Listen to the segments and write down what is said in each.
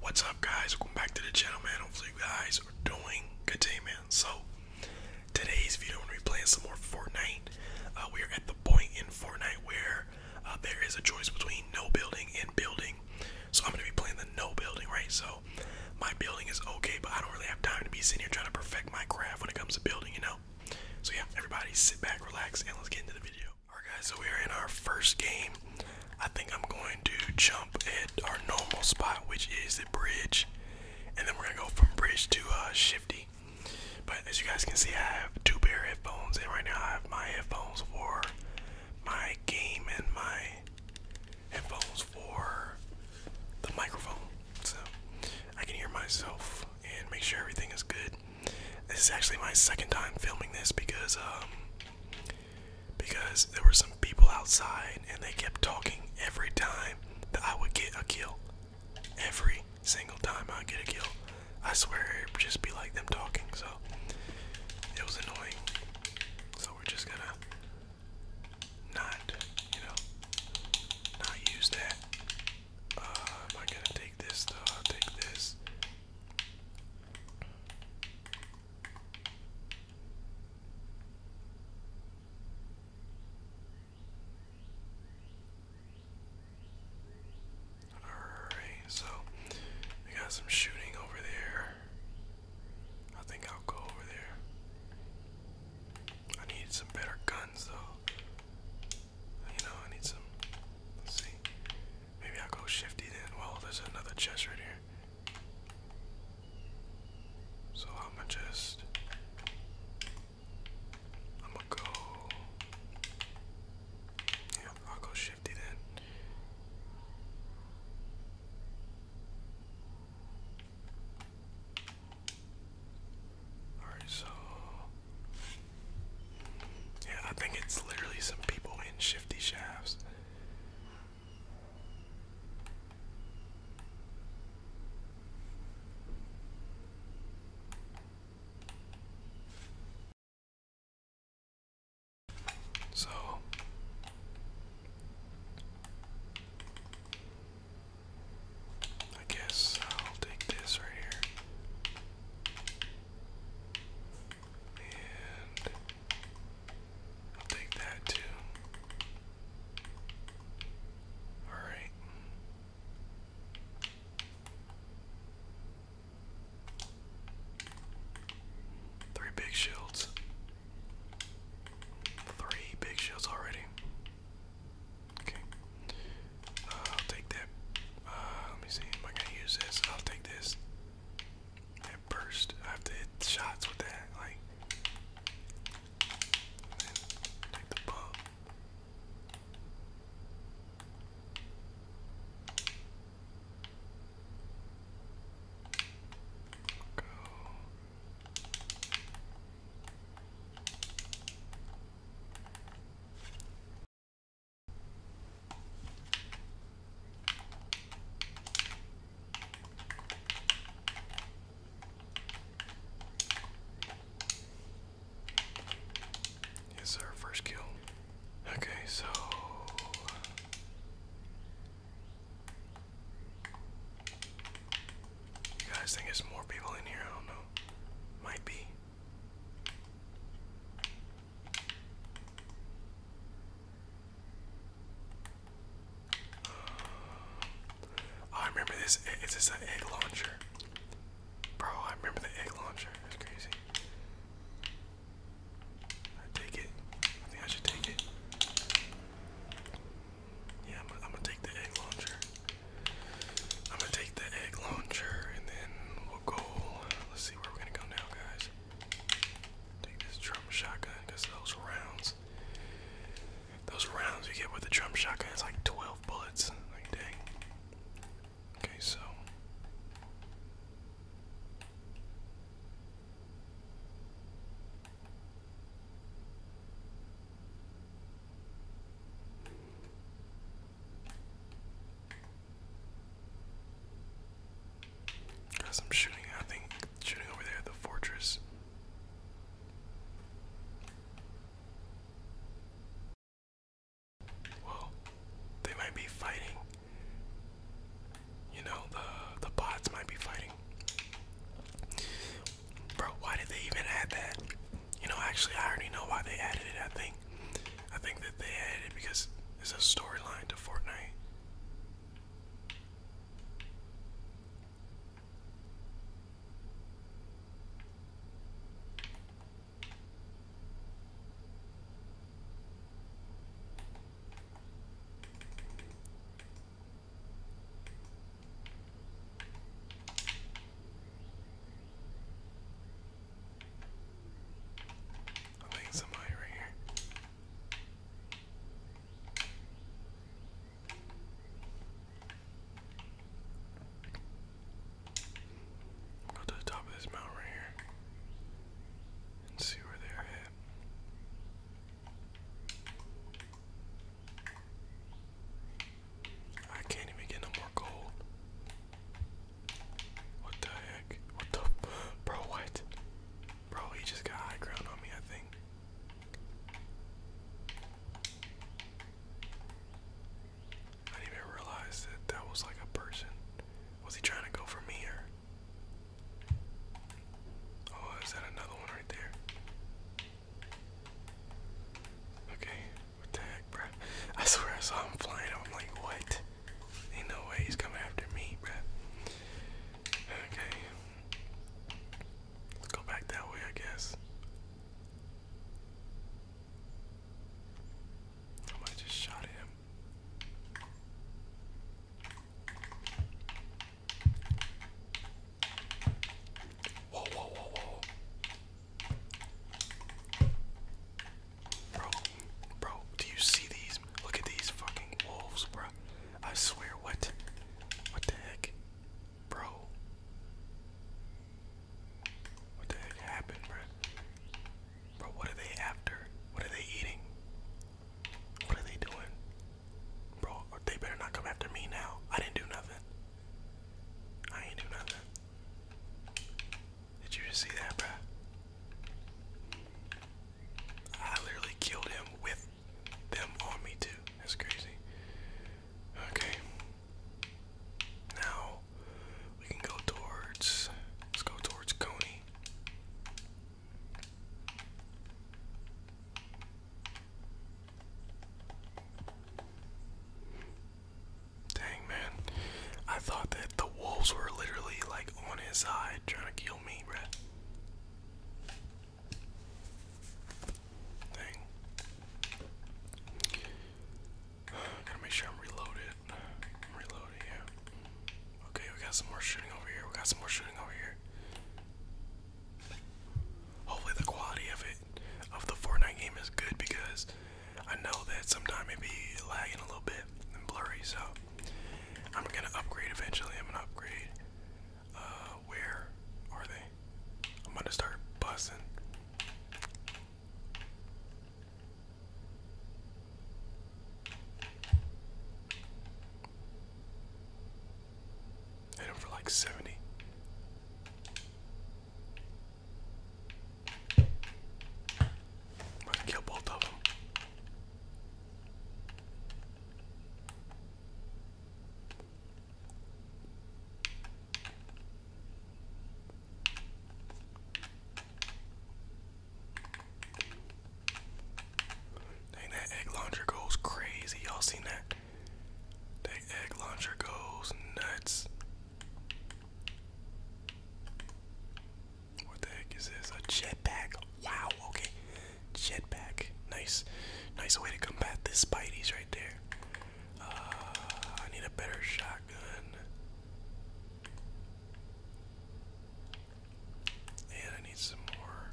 What's up guys, welcome back to the channel man, hopefully you guys are doing good day man. So, today's video I'm going to be playing some more Fortnite. Uh, we are at the point in Fortnite where uh, there is a choice between no building and building. So I'm going to be playing the no building, right? So, my building is okay, but I don't really have time to be sitting here trying to perfect my craft when it comes to building, you know? So yeah, everybody sit back, relax, and let's get into the video. Alright guys, so we are in our first game. I think I'm going to jump at our normal spot, which is the bridge. And then we're gonna go from bridge to uh, shifty. But as you guys can see, I have two pair of headphones, and right now I have my headphones for my game and my headphones for the microphone. So I can hear myself and make sure everything is good. This is actually my second time filming this because um, because there were some people outside and they kept talking every time that I would get a kill. Every single time I get a kill. I swear it would just be like them talking, so it was annoying. So we're just gonna not, you know, not use that. Uh, am I gonna take this though? I'll take this. Alright, so we got some shooting over there. I think I'll go over there. I need some better guns though. You know, I need some. see. Maybe I'll go shifty then. Well, there's another chest right here. So I'm gonna just. I'm gonna go. Yeah, I'll go shifty then. Alright, so. Yeah, I think it's literally some people in shifty shafts. So I guess I'll take this right here. And I'll take that too. Alright. Three big shields. Three big shields already. Okay. Uh, I'll take that. Uh, let me see. Am I gonna use this? I'll take this. That burst. I have to hit shots with that. Like, take the bump. Go. Yes, our first kill. Okay, so you guys think there's more people in here? I don't know. Might be. Oh, I remember this. Is this an egg launcher? Bro, I remember the egg launcher. That's crazy. I take it. I think I should take it. Yeah, I'm, gonna take the egg launcher. I'm gonna take the egg launcher, and then we'll go. Let's see where we're gonna go now, guys. Take this drum shotgun because those rounds, those rounds you get with the drum shotgun it's like 12 bullets. Like dang. Okay, so. Got some shooting, I think, shooting over there at the fortress. Well, they might be fighting. You know, the the bots might be fighting. Bro, why did they even add that? You know, actually, I already know why they added it. I think I think that they added it because it's a storyline to Fortnite. I think somebody right here. Go to the top of this mountain right here and see where they're at. I can't even get no more gold. What the heck? What the? Bro, what? Bro, he just got high ground on me, I think. I didn't even realize that that was like a person. Was he trying to go for me or? Oh, is that another one right there? Okay, what the heck, bro? I swear I saw him flying. I'm like, what? Ain't no way he's coming after me, bro. Okay. Let's go back that way, I guess. I just shot him. Whoa, whoa, whoa, whoa. Bro, bro, do you see these? Look at these fucking wolves, bro. I swear, what? What the heck? Bro. What the heck happened, bro? Bro, what are they after? What are they eating? What are they doing? Bro, they better not come after me now. I didn't do nothing. I ain't do nothing. Did you just see that, bruh? I literally killed him with them on me, too. That's crazy. Okay. Now we can go towards. Let's go towards Coney. Dang, man. I thought that the wolves were literally like on his side trying to kill me, bruh. Dang. Gotta make sure I'm reloaded. i yeah. Okay, we got some more shooting over here. We got some more shooting over here. Hopefully the quality of it, of the Fortnite game is good because I know that sometimes it be lagging a little bit and blurry, so I'm gonna upgrade eventually. I'm gonna upgrade. Uh, where are they? I'm gonna start bussing. Hit him for like 70. I'm gonna kill both of them. Dang, that egg launcher goes crazy. Y'all seen that? That egg launcher goes nuts. What the heck is this? A jetpack. Wow, okay. Jetpack. Nice. Nice way to combat this Spidey's right there. Uh, I need a better shotgun. And I need some more.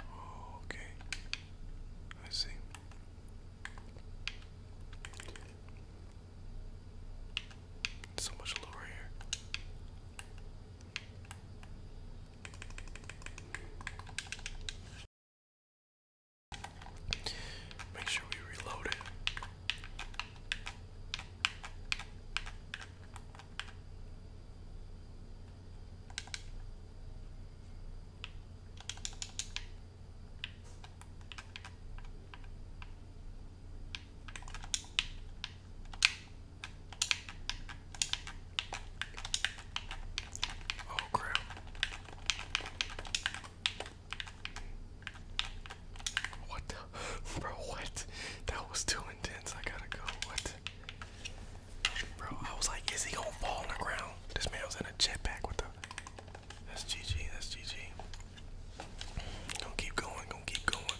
Oh, okay. I see. So much lower here. Make sure we reload it. Oh, crap. What the? Bro, what? That was too intense. I gotta go. What? Bro, I was like, is he gonna fall on the ground? This man was in a jetpack with the. That's GG, that's GG. Gonna keep going, gonna keep going.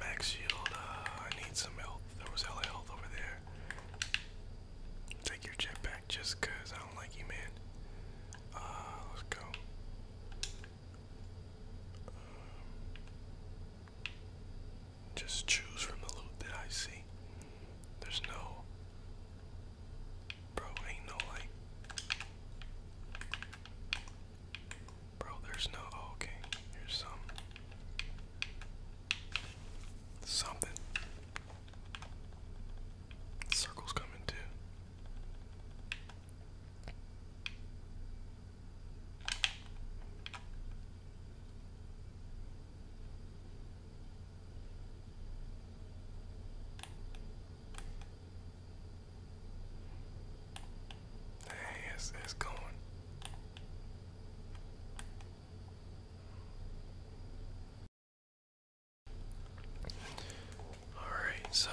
Max shield, uh, I need some health. There was hella health over there. Take your jetpack just cause I don't like you, man. Uh, let's go. Just choose from the loot that I see. There's no. Bro, ain't no like. Bro, there's no. Oh, okay, here's some. Something. Circle's coming too. Dang, it's, it's going. All right, so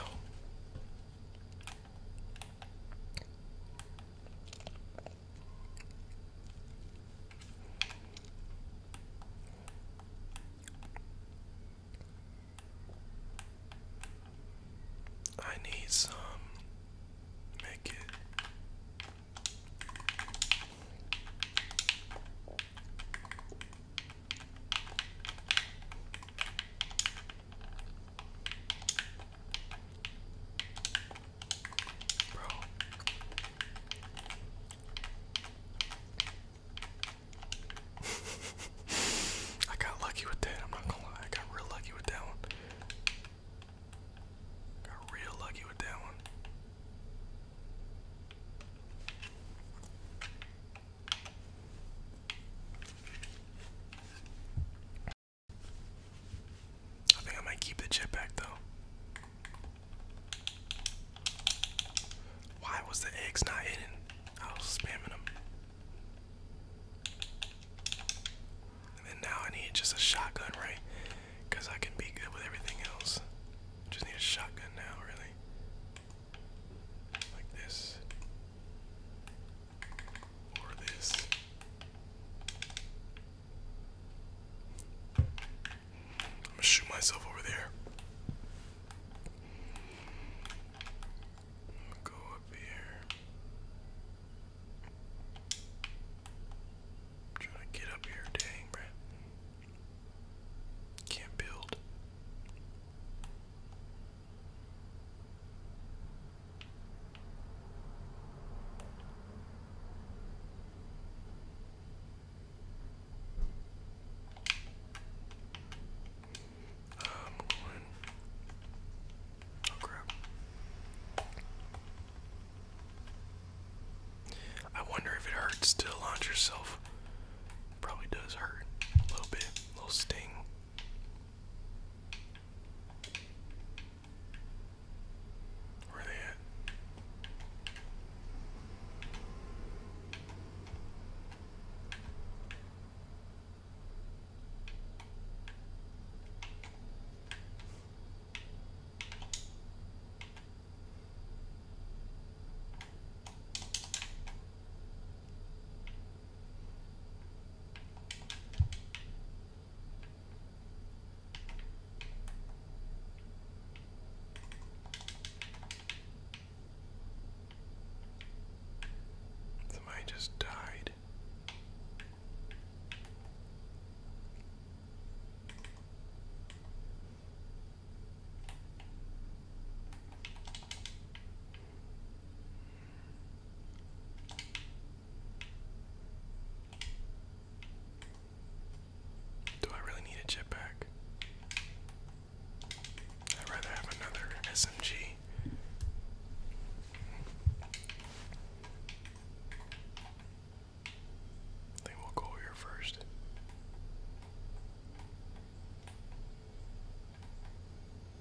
I need some make it. Bro. I got lucky with that. I'm not gonna lie. I got real lucky with that one. Got real lucky with that one. I think I might keep the jetpack though. Why was the eggs not hidden? I was spamming them. And now I need just a shotgun, right? Because I can be good with everything else. Just need a shotgun now, really. Like this. I'm gonna shoot myself over there. go up here. trying to get up here, dang, bruh. Can't build i Oh crap. I wonder if it hurts to launch yourself. Probably does hurt a little bit, a little sting. Where are they at? Somebody just died. Do I really need a jetpack? I'd rather have another SMG. I think we'll go here first.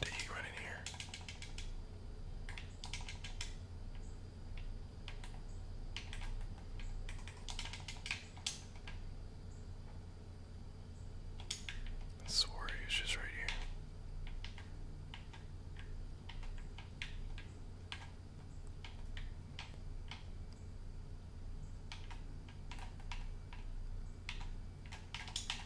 Did you run in here? I swore just right here.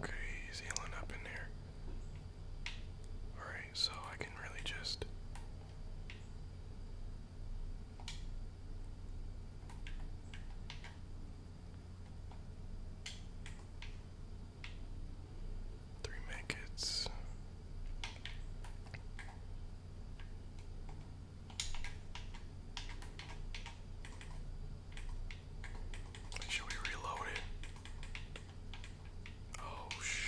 Okay, he's healing up in there. Alright, so I can really just. Three make Should we reload it? Oh, shh.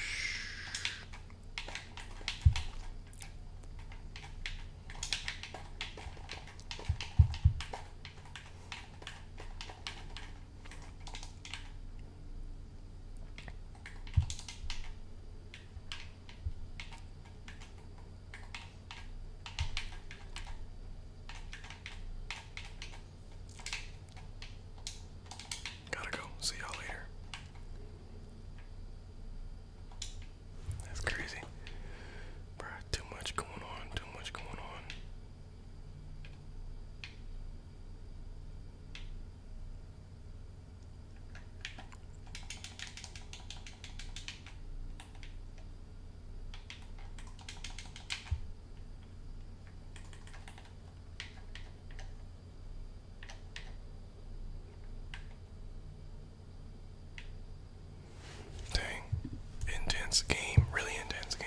Gotta go. See y'all later. That's crazy. Bruh, too much going on, too much going on. Dang. Intense game, really intense game.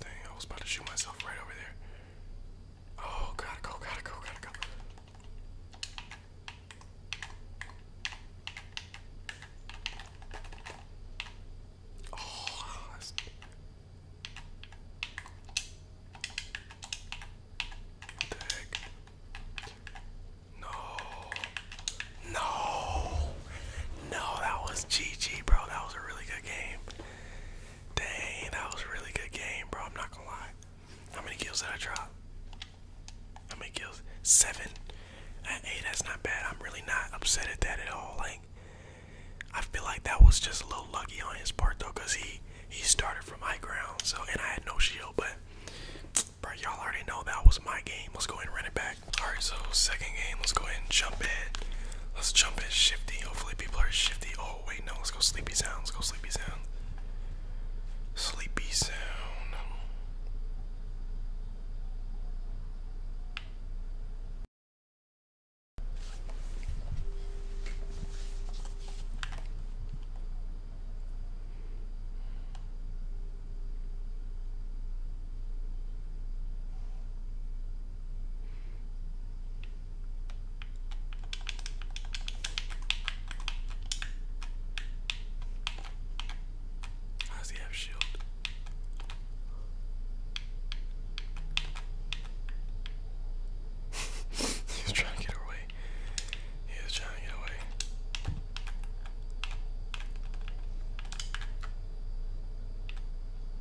Dang, I was about to shoot myself right over there. Oh, gotta go, gotta go, gotta go. Oh, What the heck? No. No. No, that was GG, bro. That was a really good game. Dang, that was a really good game, bro. I'm not gonna lie. How many kills did I drop? How many kills? Seven. At uh, eight, that's not bad. I'm really not upset at that at all. Like, I feel like that was just a little lucky on his part though, cause he he started from high ground. So, and I had no shield, but bro, y'all already know that was my game. Let's go and run it back. Alright, so second game, let's go ahead and jump in. Let's jump in shifty. Hopefully people are shifty. Oh wait, no, let's go sleepy sound. Let's go sleepy sound. Sleepy sound. How he have shield? he trying to get away. He was trying to get away.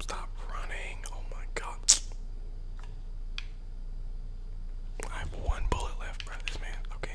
Stop running. Oh my god. I have one bullet left, bro. This man. Okay.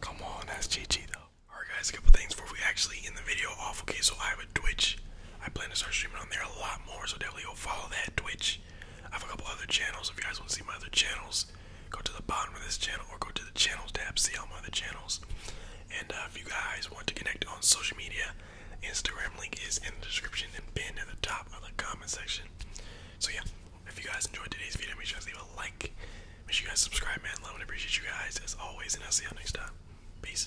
Come on, that's GG though. Alright guys, a couple things before we actually end the video off. Okay, so I have Twitch. I plan to start streaming on there a lot more, so definitely go follow that Twitch. I have a couple other channels. If you guys want to see my other channels, go to the bottom of this channel or go to the channel tab, see all my other channels. And uh, if you guys want to connect on social media, Instagram link is in the description and pinned at the top of the comment section. So yeah, if you guys enjoyed today's video, make sure to leave a like. Make sure you guys subscribe, man. Love and appreciate you guys as always, and I'll see y'all next time. Peace.